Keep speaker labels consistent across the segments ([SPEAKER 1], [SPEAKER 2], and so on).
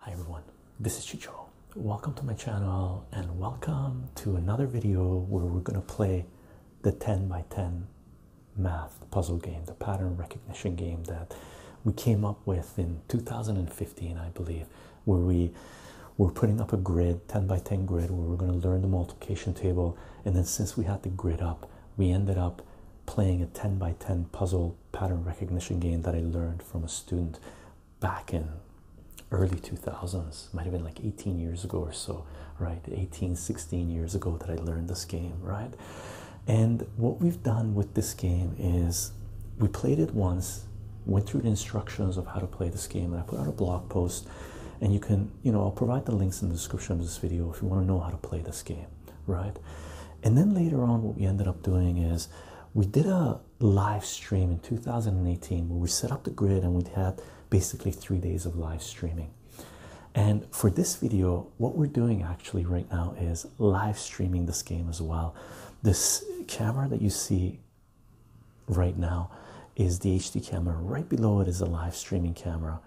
[SPEAKER 1] Hi everyone, this is Chicho. Welcome to my channel and welcome to another video where we're going to play the 10 by 10 math puzzle game, the pattern recognition game that we came up with in 2015, I believe, where we were putting up a grid, 10 by 10 grid, where we're going to learn the multiplication table and then since we had to grid up, we ended up playing a 10 by 10 puzzle pattern recognition game that I learned from a student back in early 2000s, might have been like 18 years ago or so, right? 18, 16 years ago that I learned this game, right? And what we've done with this game is we played it once, went through the instructions of how to play this game, and I put out a blog post and you can you know i'll provide the links in the description of this video if you want to know how to play this game right and then later on what we ended up doing is we did a live stream in 2018 where we set up the grid and we had basically three days of live streaming and for this video what we're doing actually right now is live streaming this game as well this camera that you see right now is the HD camera. Right below it is a live streaming camera,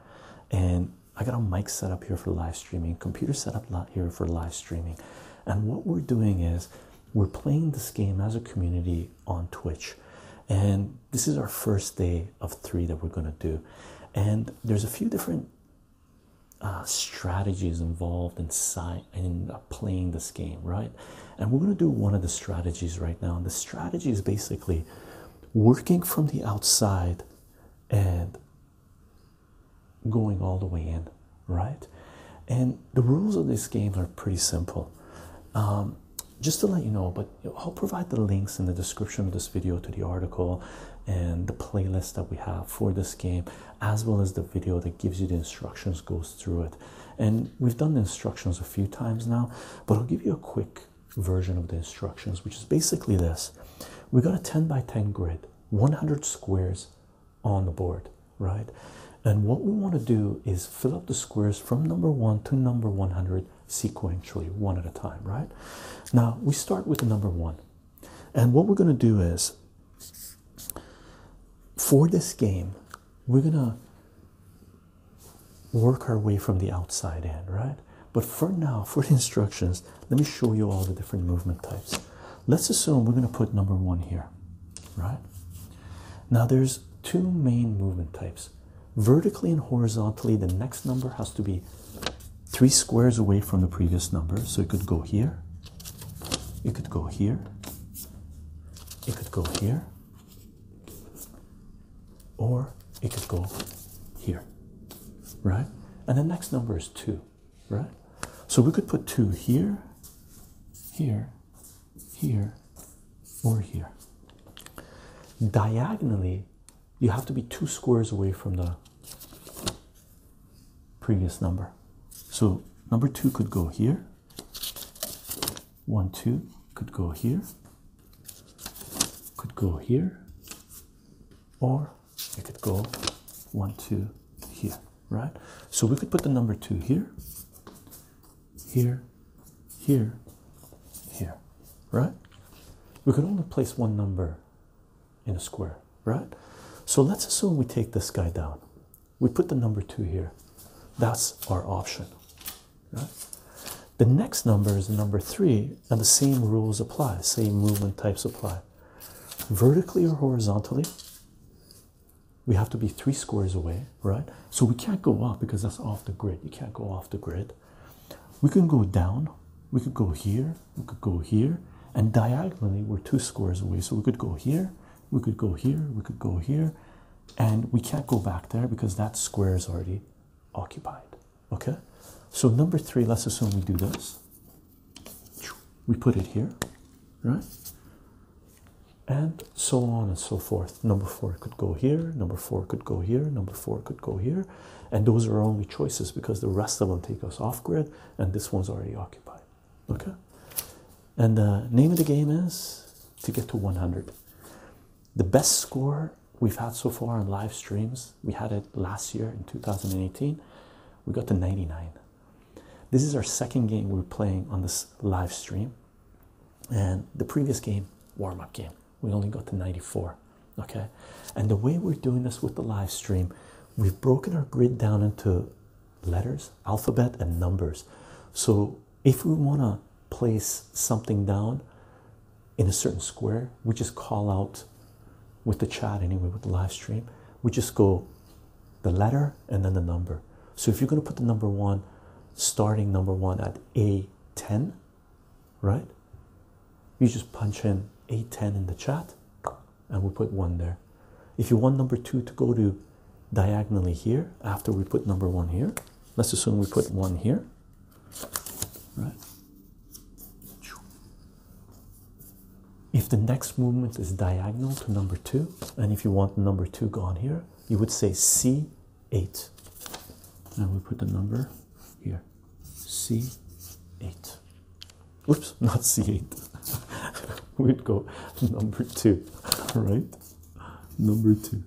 [SPEAKER 1] and I got a mic set up here for live streaming, computer set up here for live streaming. And what we're doing is we're playing this game as a community on Twitch. And this is our first day of three that we're going to do. And there's a few different uh, strategies involved in, in uh, playing this game, right? And we're going to do one of the strategies right now. And the strategy is basically working from the outside and going all the way in, right? And the rules of this game are pretty simple. Um, just to let you know, but I'll provide the links in the description of this video to the article and the playlist that we have for this game, as well as the video that gives you the instructions, goes through it. And we've done the instructions a few times now, but I'll give you a quick version of the instructions, which is basically this we got a 10 by 10 grid, 100 squares on the board, right? And what we want to do is fill up the squares from number one to number 100 sequentially, one at a time, right? Now we start with the number one, and what we're going to do is for this game, we're going to work our way from the outside end, right? But for now, for the instructions, let me show you all the different movement types. Let's assume we're going to put number one here, right? Now, there's two main movement types. Vertically and horizontally, the next number has to be three squares away from the previous number. So it could go here, it could go here, it could go here, or it could go here, right? And the next number is two, right? So we could put two here, here, here, or here. Diagonally, you have to be two squares away from the previous number. So number two could go here, one, two could go here, could go here, or it could go one, two here, right? So we could put the number two here, here, here, here, right? We could only place one number in a square, right? So let's assume we take this guy down. We put the number two here. That's our option, Right? The next number is number three, and the same rules apply, same movement types apply. Vertically or horizontally, we have to be three squares away, right? So we can't go up because that's off the grid. You can't go off the grid. We can go down, we could go here, we could go here, and diagonally we're two squares away. So we could go here, we could go here, we could go here, and we can't go back there because that square is already occupied. Okay, so number three, let's assume we do this. We put it here, right? And so on and so forth. Number four could go here, number four could go here, number four could go here, and those are our only choices because the rest of them take us off grid and this one's already occupied. Okay, and the uh, name of the game is to get to 100 the best score we've had so far on live streams, we had it last year in 2018, we got to 99. This is our second game we're playing on this live stream. And the previous game, warm up game, we only got to 94. Okay. And the way we're doing this with the live stream, we've broken our grid down into letters, alphabet, and numbers. So if we want to place something down in a certain square, we just call out with the chat anyway, with the live stream, we just go the letter and then the number. So if you're going to put the number one, starting number one at A10, right? You just punch in A10 in the chat and we put one there. If you want number two to go to diagonally here after we put number one here. Let's assume we put one here, right? If the next movement is diagonal to number two, and if you want number two gone here, you would say C8. And we put the number here C8. Oops, not C8. We'd go number two, right? Number two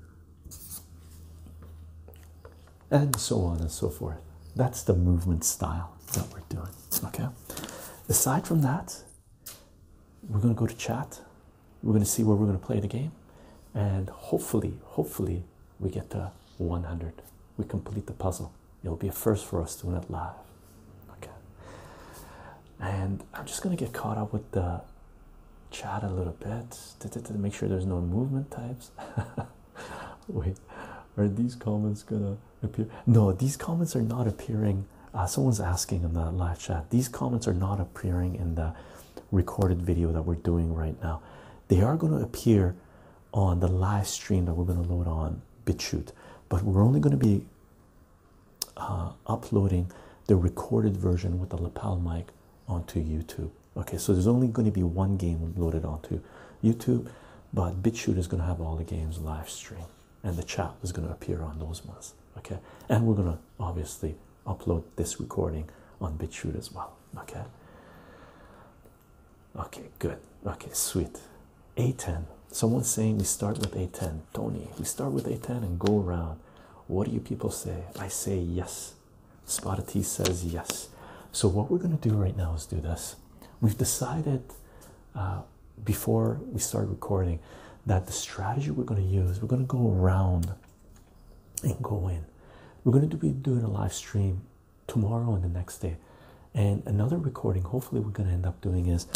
[SPEAKER 1] and so on and so forth. That's the movement style that we're doing. Okay. Aside from that, we're going to go to chat. We're going to see where we're going to play the game. And hopefully, hopefully, we get to 100. We complete the puzzle. It'll be a first for us to win it live. Okay and I'm just gonna get caught up with the chat a little bit to make sure there's no movement types. Wait, are these comments gonna appear? No, these comments are not appearing. Uh, someone's asking in the live chat, these comments are not appearing in the recorded video that we're doing right now. They are going to appear on the live stream that we're going to load on BitChute, but we're only going to be uh, uploading the recorded version with the lapel mic onto YouTube. Okay, so there's only going to be one game loaded onto YouTube, but BitChute is going to have all the games live stream, and the chat is going to appear on those ones. Okay, and we're going to obviously upload this recording on BitChute as well. Okay. Okay, good. Okay, sweet. A10. Someone's saying we start with A10. Tony, we start with A10 and go around. What do you people say? I say yes. Spotted T says yes. So, what we're going to do right now is do this. We've decided uh, before we start recording that the strategy we're going to use, we're going to go around and go in. We're going to be doing a live stream tomorrow and the next day. And another recording, hopefully, we're going to end up doing is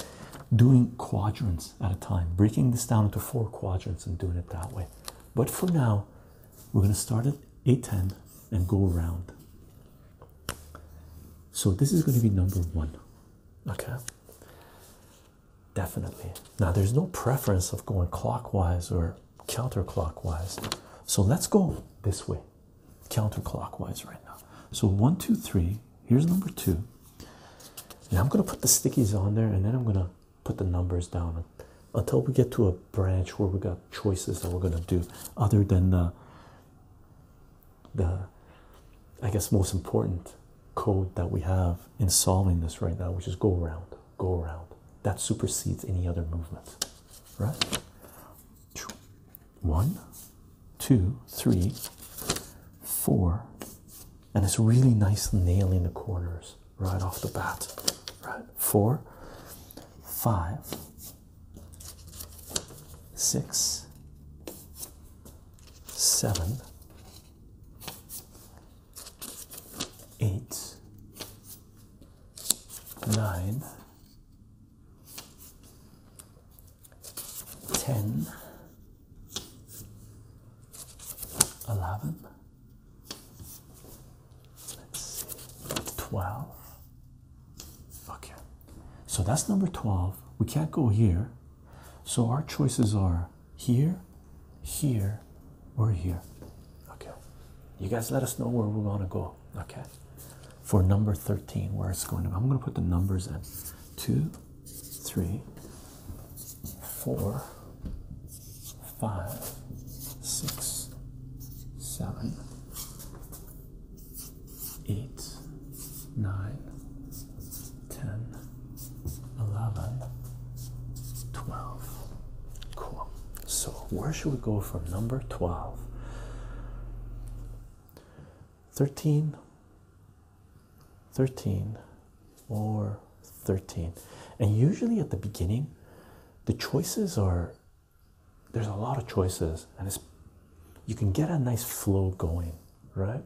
[SPEAKER 1] doing quadrants at a time, breaking this down into four quadrants and doing it that way. But for now, we're going to start at eight ten and go around. So this is going to be number one. Okay. Definitely. Now there's no preference of going clockwise or counterclockwise. So let's go this way, counterclockwise right now. So one, two, three. Here's number two. And I'm going to put the stickies on there and then I'm going to put the numbers down until we get to a branch where we got choices that we're gonna do other than the the I guess most important code that we have in solving this right now, which is go around, go around. That supersedes any other movement. Right? One, two, three, four, and it's really nice nailing the corners right off the bat. Right, four, five, six, seven, eight, nine, ten. 11 let's see 12 okay so that's number 12 we can't go here so our choices are here here or here okay you guys let us know where we are going to go okay for number 13 where it's going to i'm going to put the numbers in 2 three, four, five, six, seven, eight, nine, ten, eleven, twelve. Cool. So, where should we go from number twelve? 13 13 or 13 and usually at the beginning the choices are there's a lot of choices and it's you can get a nice flow going right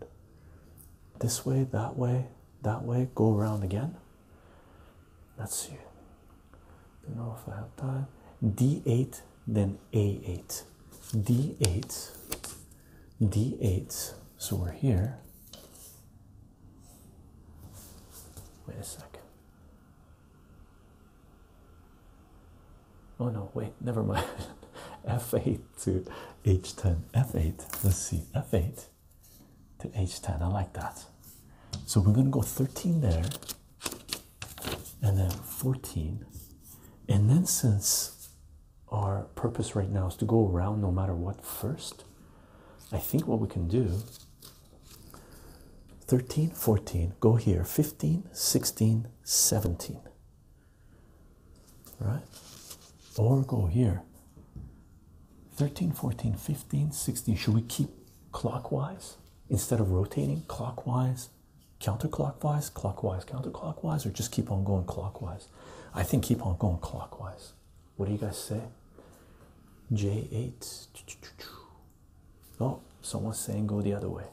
[SPEAKER 1] this way that way that way go around again let's see don't know if i have time d8 then a8 d8 d8. So we're here. Wait a second. Oh no, wait, never mind. f8 to h10. f8, let's see, f8 to h10. I like that. So we're going to go 13 there and then 14. And then since our purpose right now is to go around no matter what first. I think what we can do 13, 14, go here, 15, 16, 17. Right? Or go here. 13, 14, 15, 16. Should we keep clockwise instead of rotating clockwise, counterclockwise, clockwise, counterclockwise, or just keep on going clockwise? I think keep on going clockwise. What do you guys say? J8. Oh, someone's saying go the other way.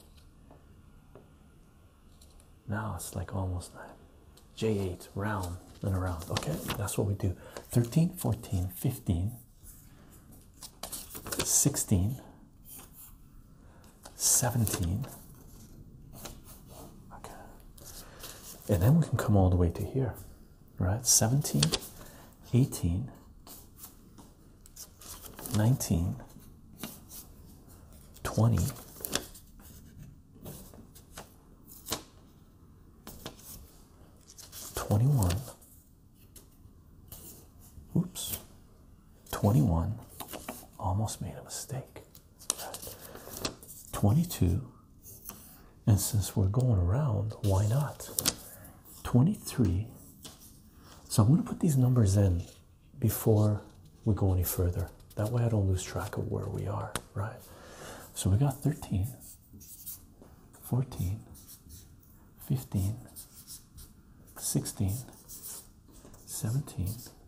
[SPEAKER 1] Now it's like almost nine. J8, round and around. Okay, that's what we do. 13, 14, 15, 16, 17, okay and then we can come all the way to here right 17 18 19 20 21 oops 21 almost made a mistake 22 and since we're going around why not 23 so i'm going to put these numbers in before we go any further that way i don't lose track of where we are right so we got 13 14 15 16 17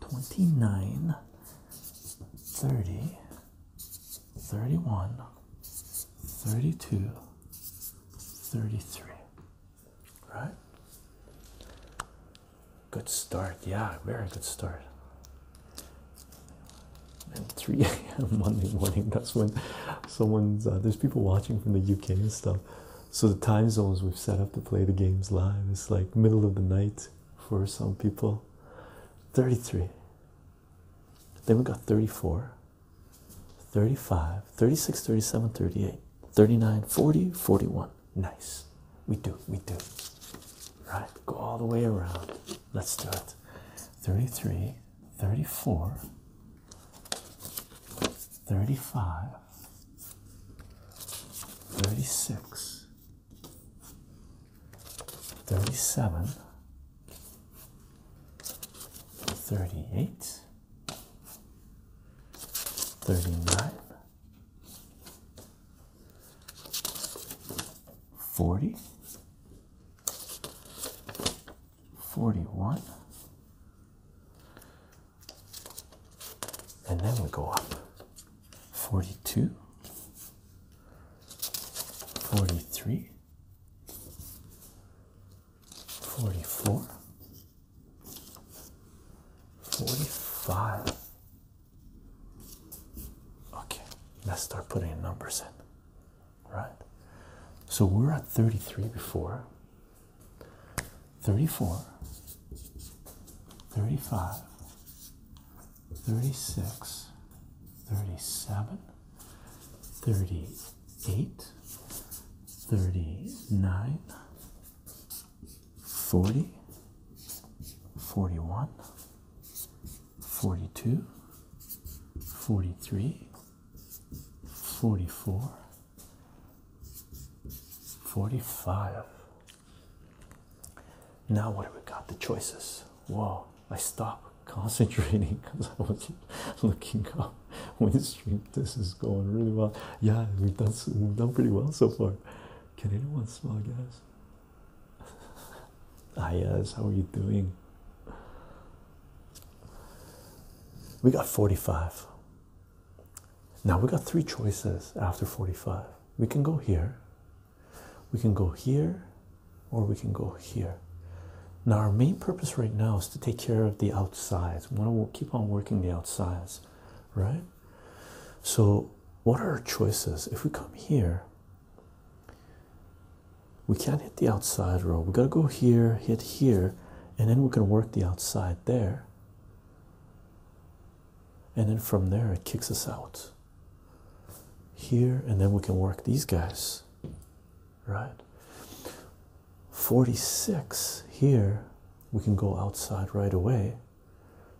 [SPEAKER 1] 29 30 31 32 33 right good start yeah very good start and 3 a.m. Monday morning that's when someone's uh, there's people watching from the UK and stuff so the time zones we've set up to play the games live is like middle of the night for some people 33 then we got 34 35 36 37 38 39 40 41 nice we do we do right go all the way around let's do it 33 34 35, 36, 37, 38, 39, 40, 41, and then we go up 42 43 44 45 okay let's start putting numbers in right so we're at 33 before 34 35 36 37 38 39 40 41 42 43 44 45. Now, what do we got? The choices. Whoa, I stopped concentrating because I was looking up Stream. This is going really well. Yeah, we've done, we've done pretty well so far. Can anyone smell gas? ah, yes, how are you doing? We got 45. Now we got three choices after 45. We can go here, we can go here, or we can go here. Now, our main purpose right now is to take care of the outsides. We want to keep on working the outsides, right? So, what are our choices? If we come here, we can't hit the outside row. We got to go here, hit here, and then we can work the outside there and then from there it kicks us out here and then we can work these guys right 46 here we can go outside right away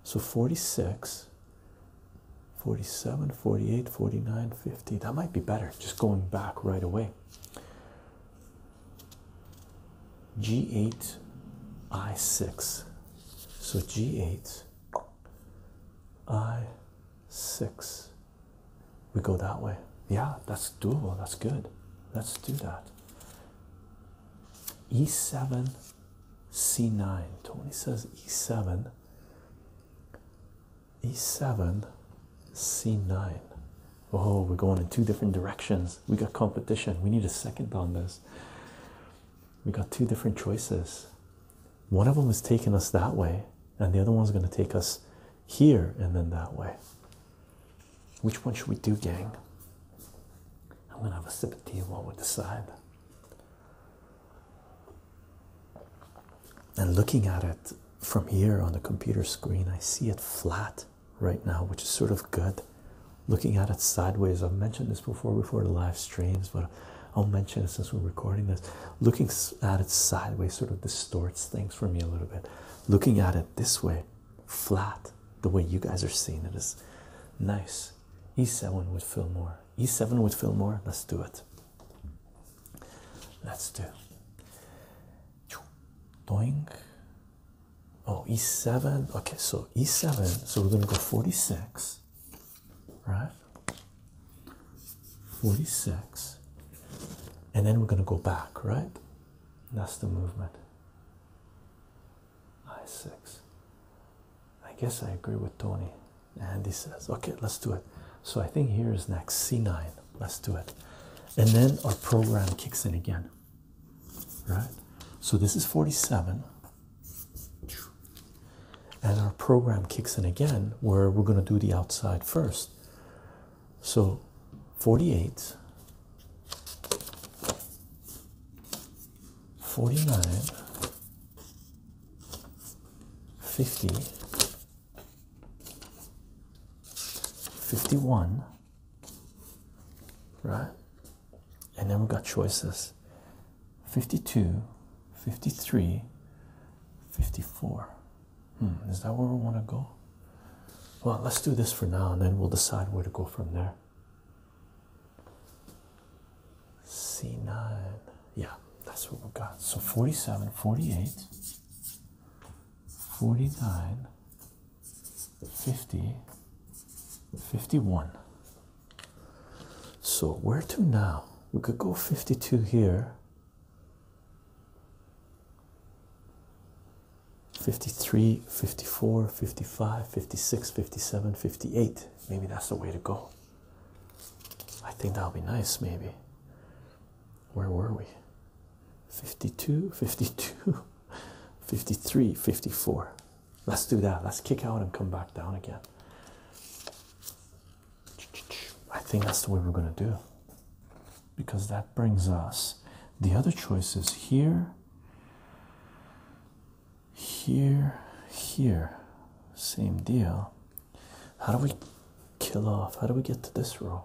[SPEAKER 1] so 46 47 48 49 50 that might be better just going back right away G8 I6. So G8 I6. We go that way. Yeah, that's doable. That's good. Let's do that. E7 C9. Tony says E7. E7 C9. Oh, we're going in two different directions. We got competition. We need a second on this. We got two different choices. One of them is taking us that way, and the other one is going to take us here and then that way. Which one should we do, gang? I'm going to have a sip of tea while we decide. And looking at it from here on the computer screen, I see it flat right now, which is sort of good. Looking at it sideways, I've mentioned this before before the live streams, but I'll mention it since we're recording this. Looking at it sideways sort of distorts things for me a little bit. Looking at it this way, flat, the way you guys are seeing it is nice. E7 with fill more. E7 with fill more. Let's do it. Let's do. Doing. Oh, e7. Okay, so e7. So we're going to go 46, right? 46. And then we're going to go back, right? That's the movement. I6. I guess I agree with Tony. Andy says, okay, let's do it. So I think here is next C9. Let's do it. And then our program kicks in again right? So this is 47. And our program kicks in again where we're going to do the outside first. So 48, 49, 50, 51, right? And then we got choices 52, 53, 54. Hmm, is that where we want to go? Well, let's do this for now and then we'll decide where to go from there. C9. Yeah, that's what we got. So 47, 48, 49, 50, 51. So where to now? We could go 52 here. 53, 54, 55, 56, 57, 58. Maybe that's the way to go. I think that'll be nice, maybe. Where were we? 52, 52. 53, 54. Let's do that. Let's kick out and come back down again. I think that's the way we're going to do because that brings us the other choices here, here, here. Same deal. How do we kill off? How do we get to this row?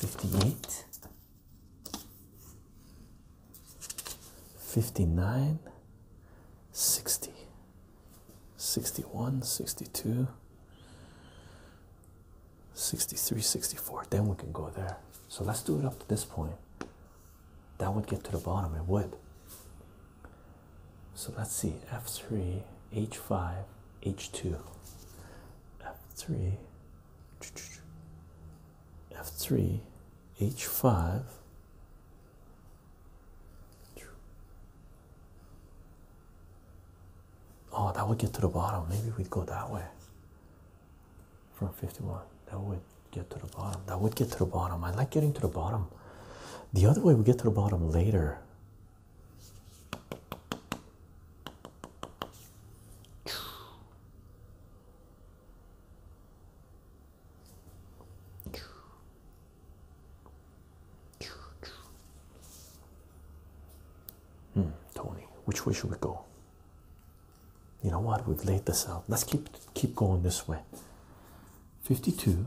[SPEAKER 1] 58 59 60 61 62 63 64 then we can go there so let's do it up to this point that would get to the bottom it would so let's see f3 h5 h2 f3 f3 h5 oh that would get to the bottom maybe we'd go that way from 51 that would get to the bottom that would get to the bottom i like getting to the bottom the other way we get to the bottom later Hmm, Tony, which way should we go? You know what? We've laid this out. Let's keep keep going this way. 52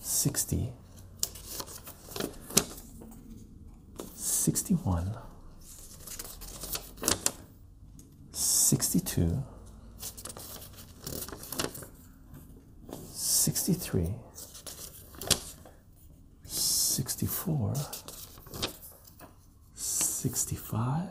[SPEAKER 1] 60 61 62 63 64 65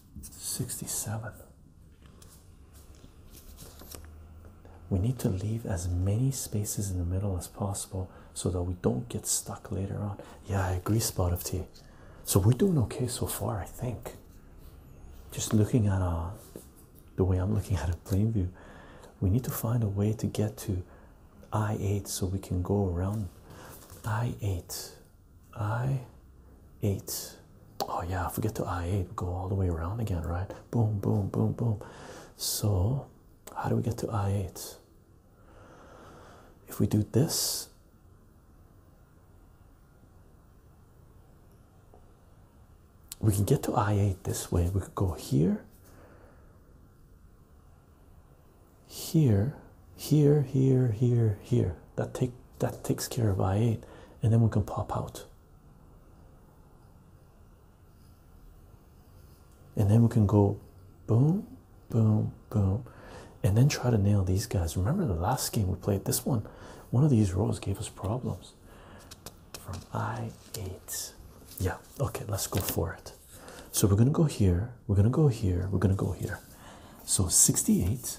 [SPEAKER 1] 67. We need to leave as many spaces in the middle as possible so that we don't get stuck later on. Yeah, I agree, Spot of Tea. So we're doing okay so far, I think. Just looking at uh, the way I'm looking at a plain view, we need to find a way to get to I8 so we can go around I8. I8 oh yeah if we to i8 go all the way around again right boom boom boom boom so how do we get to i8 if we do this we can get to i8 this way we could go here here here here here here that take that takes care of i8 and then we can pop out and then we can go boom boom boom and then try to nail these guys remember the last game we played this one one of these rows gave us problems from i8 yeah okay let's go for it so we're gonna go here we're gonna go here we're gonna go here so 68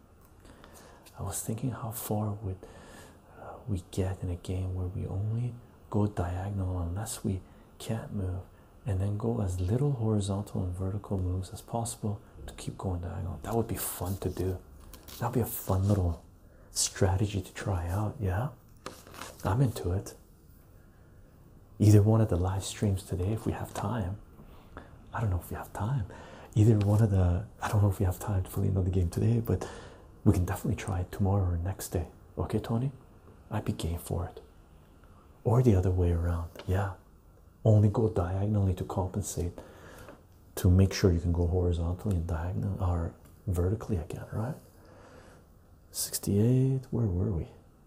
[SPEAKER 1] I was thinking how far would uh, we get in a game where we only go diagonal unless we can't move and then go as little horizontal and vertical moves as possible to keep going diagonal. That would be fun to do. That'd be a fun little strategy to try out, yeah. I'm into it. Either one of the live streams today if we have time. I don't know if we have time. Either one of the I don't know if we have time to play another game today, but we can definitely try it tomorrow or next day. Okay, Tony? I'd be game for it. Or the other way around. Yeah. Only go diagonally to compensate to make sure you can go horizontally and diagonal or vertically again, right? 68, where were we?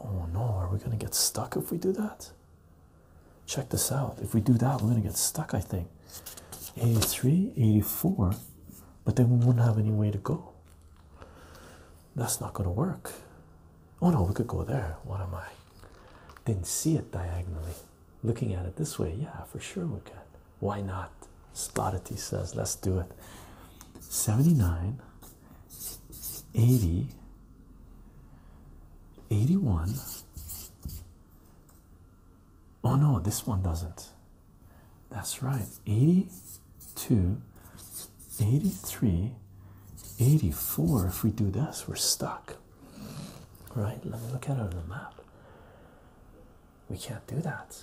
[SPEAKER 1] Oh no, are we gonna get stuck if we do that? Check this out. If we do that, we're gonna get stuck, I think. 83, 84, but then we will not have any way to go. That's not gonna work. Oh no, we could go there. What am I? Didn't see it diagonally looking at it this way yeah for sure we can why not Spotty says let's do it 79 80 81 oh no this one doesn't that's right 82 83 84 if we do this we're stuck right let me look at it on the map we can't do that.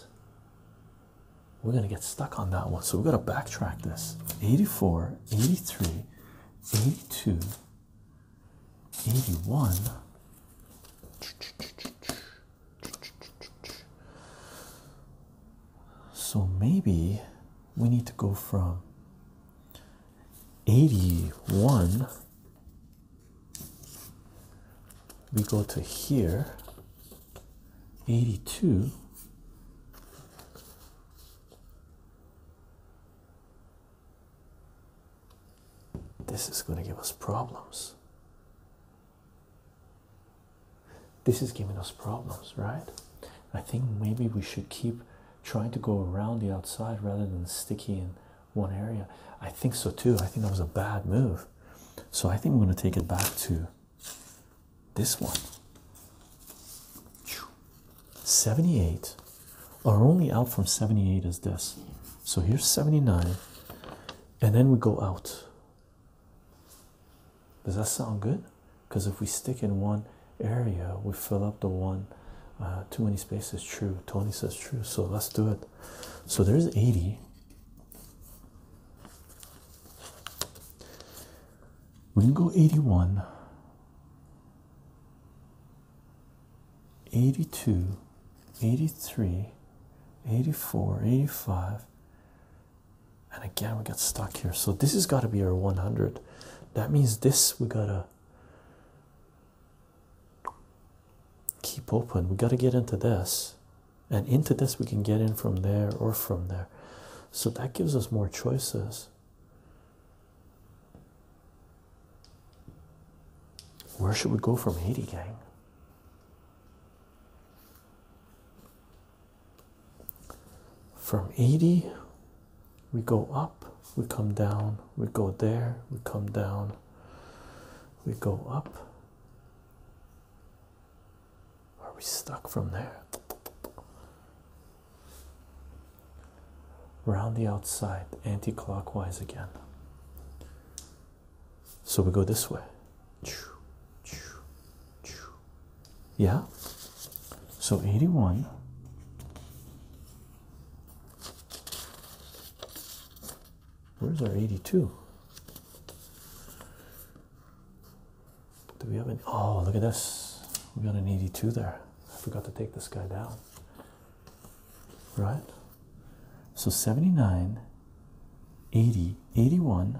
[SPEAKER 1] We're going to get stuck on that one. So we've got to backtrack this 84, 83, 82, 81. So maybe we need to go from 81 we go to here 82 this is going to give us problems this is giving us problems right i think maybe we should keep trying to go around the outside rather than sticking. and one area. I think so too. I think that was a bad move. So I think we're going to take it back to this one. 78. are only out from 78 is this. So here's 79. And then we go out. Does that sound good? Because if we stick in one area, we fill up the one. Uh, too many spaces, true. Tony says true. So let's do it. So there's 80. We can go 81, 82, 83, 84, 85. And again, we got stuck here. So this has got to be our 100. That means this we got to keep open. We got to get into this, and into this we can get in from there or from there. So that gives us more choices. Where should we go from eighty, gang? From 80, we go up, we come down, we go there, we come down, we go up. Are we stuck from there? Round the outside, anti clockwise again. So we go this way. Yeah. So 81 Where's our 82? Do we have an oh look at this? We got an 82 there. I forgot to take this guy down. Right? So 79, 80, 81.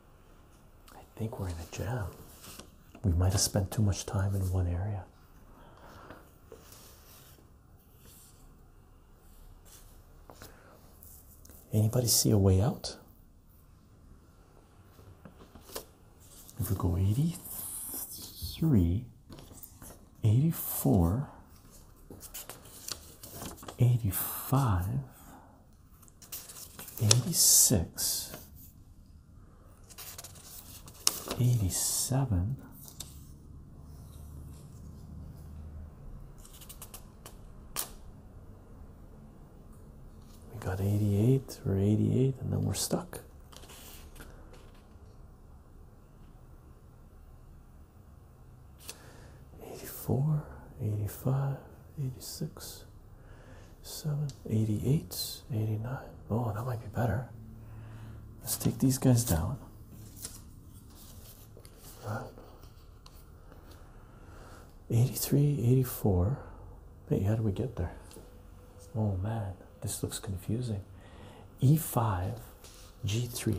[SPEAKER 1] I think we're in a jam. We might have spent too much time in one area. Anybody see a way out? If we go 83, 84, 85, 86 87 we got 88 we We're 88 and then we're stuck Eighty four, eighty five, eighty six. Seven, 89. Oh, that might be better. Let's take these guys down. Right. 83, 84. Hey, how do we get there? Oh man, this looks confusing. E5, G3.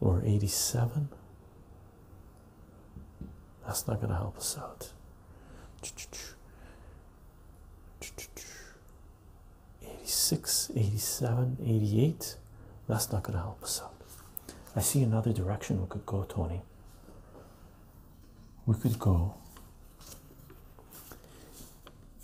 [SPEAKER 1] or 87 that's not going to help us out 86 87 88 that's not going to help us out i see another direction we could go tony we could go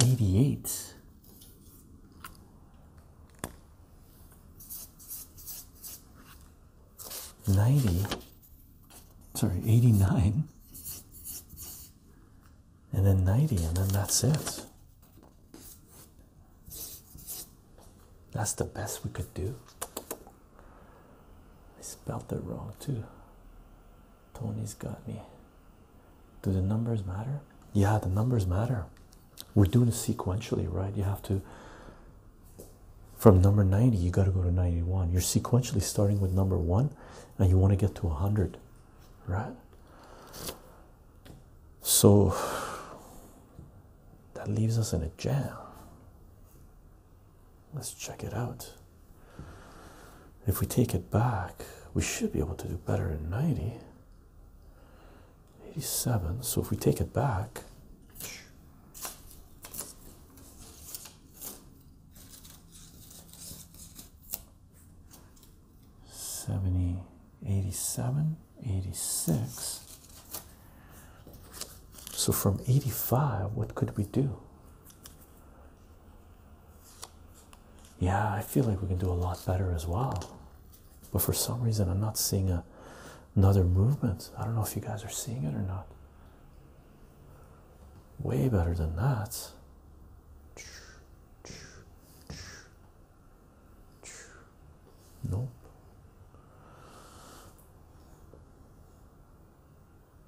[SPEAKER 1] 88. Ninety, sorry, eighty-nine, and then ninety, and then that's it. That's the best we could do. I spelled it wrong too. Tony's got me. Do the numbers matter? Yeah, the numbers matter. We're doing sequentially, right? You have to, from number 90, you got to go to 91. You're sequentially starting with number one and you want to get to 100, right? So that leaves us in a jam. Let's check it out. If we take it back, we should be able to do better in 90. 87. So if we take it back, Seventy, eighty-seven, eighty-six. So from 85, what could we do? Yeah, I feel like we can do a lot better as well. But for some reason, I'm not seeing a, another movement. I don't know if you guys are seeing it or not. Way better than that. Nope.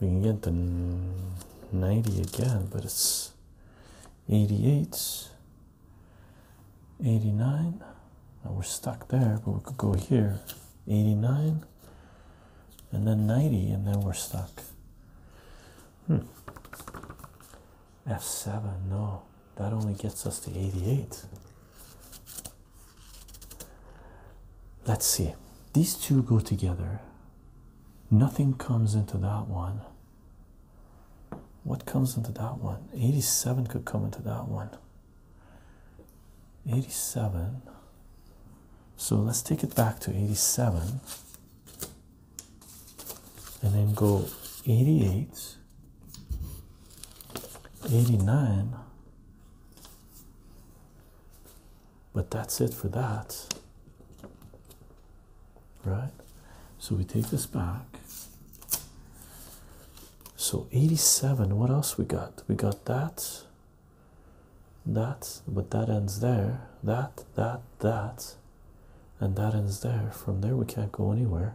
[SPEAKER 1] we can get to 90 again, but it's 88, 89. Now we're stuck there, but we could go here 89 and then 90, and then we're stuck. Hmm. F7, no, that only gets us to 88. Let's see. These two go together. Nothing comes into that one. What comes into that one? 87 could come into that one. 87. So let's take it back to 87 and then go 88, 89, but that's it for that. Right? So we take this back. So 87, what else we got? We got that, that, but that ends there, that, that, that, and that ends there. From there, we can't go anywhere.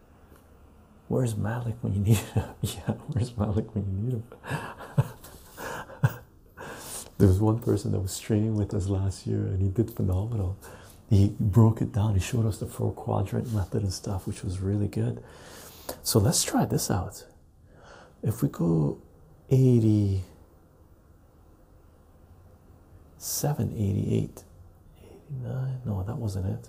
[SPEAKER 1] Where's Malik when you need him? yeah, where's Malik when you need him? there was one person that was streaming with us last year and he did phenomenal. He broke it down, he showed us the four quadrant method and stuff, which was really good. So let's try this out. If we go 80. 788 89 no that wasn't it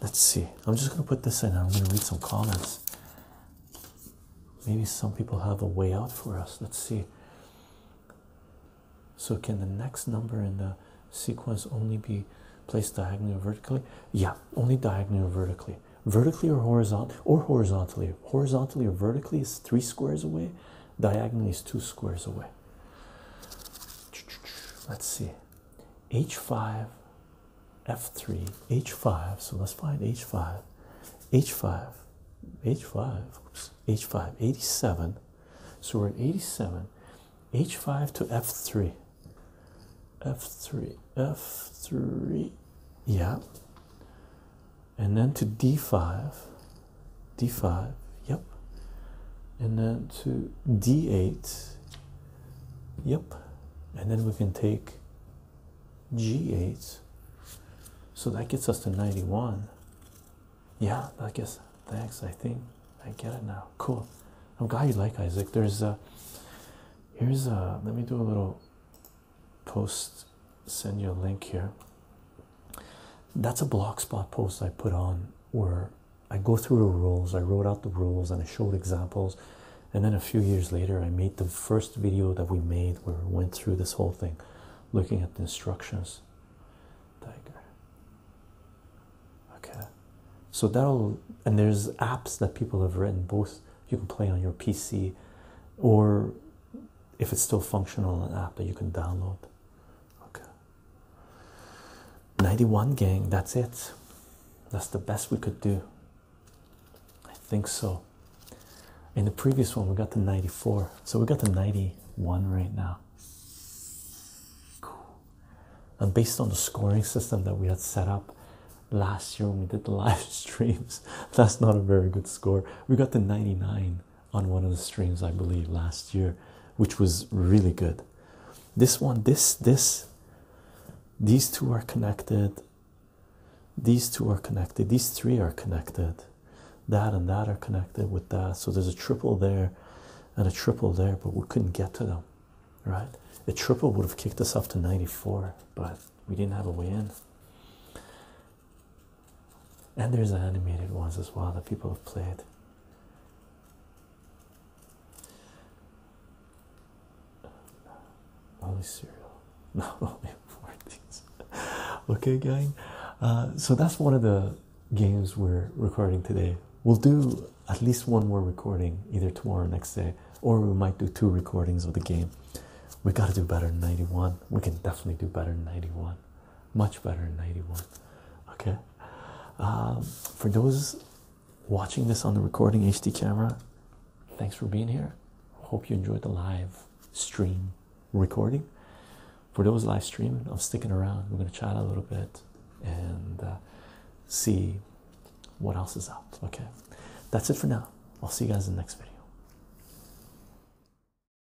[SPEAKER 1] Let's see. I'm just going to put this in. I'm going to read some comments. Maybe some people have a way out for us. Let's see. So, can the next number in the sequence only be placed diagonally or vertically? Yeah, only diagonally or vertically. Vertically or horizontal or horizontally. Horizontally or vertically is three squares away. Diagonally is two squares away. Let's see. H5, F3, H5. So let's find H5. H5, H5, oops, H5, 87. So we're at 87. H5 to F3. F3, F3, yeah. And then to D5 d5 yep and then to d8 yep and then we can take g8 so that gets us to 91 yeah i guess thanks i think i get it now cool i'm glad you like isaac there's a here's a let me do a little post send you a link here that's a blog spot post I put on where I go through the rules, I wrote out the rules, and I showed examples. And then a few years later, I made the first video that we made where we went through this whole thing looking at the instructions. Tiger. Okay, so that'll, and there's apps that people have written, both you can play on your PC or if it's still functional, an app that you can download. Okay. 91 gang, that's it. That's the best we could do. I think so. In the previous one, we got to 94. So we got to 91 right now. Cool. And based on the scoring system that we had set up last year when we did the live streams, that's not a very good score. We got to 99 on one of the streams i believe last year which was really good this one this this these two are connected these two are connected these three are connected that and that are connected with that so there's a triple there and a triple there but we couldn't get to them right a triple would have kicked us off to 94 but we didn't have a way in and there's animated ones as well that people have played. Only cereal, not only four things. okay, gang. Uh, so that's one of the games we're recording today. We'll do at least one more recording either tomorrow or next day, or we might do two recordings of the game. We got to do better than 91. We can definitely do better than 91 much better in 91 okay um, for those watching this on the recording hd camera thanks for being here hope you enjoyed the live stream recording for those live streaming i'm sticking around we're going to chat a little bit and uh, see what else is up. okay that's it for now i'll see you guys in the next video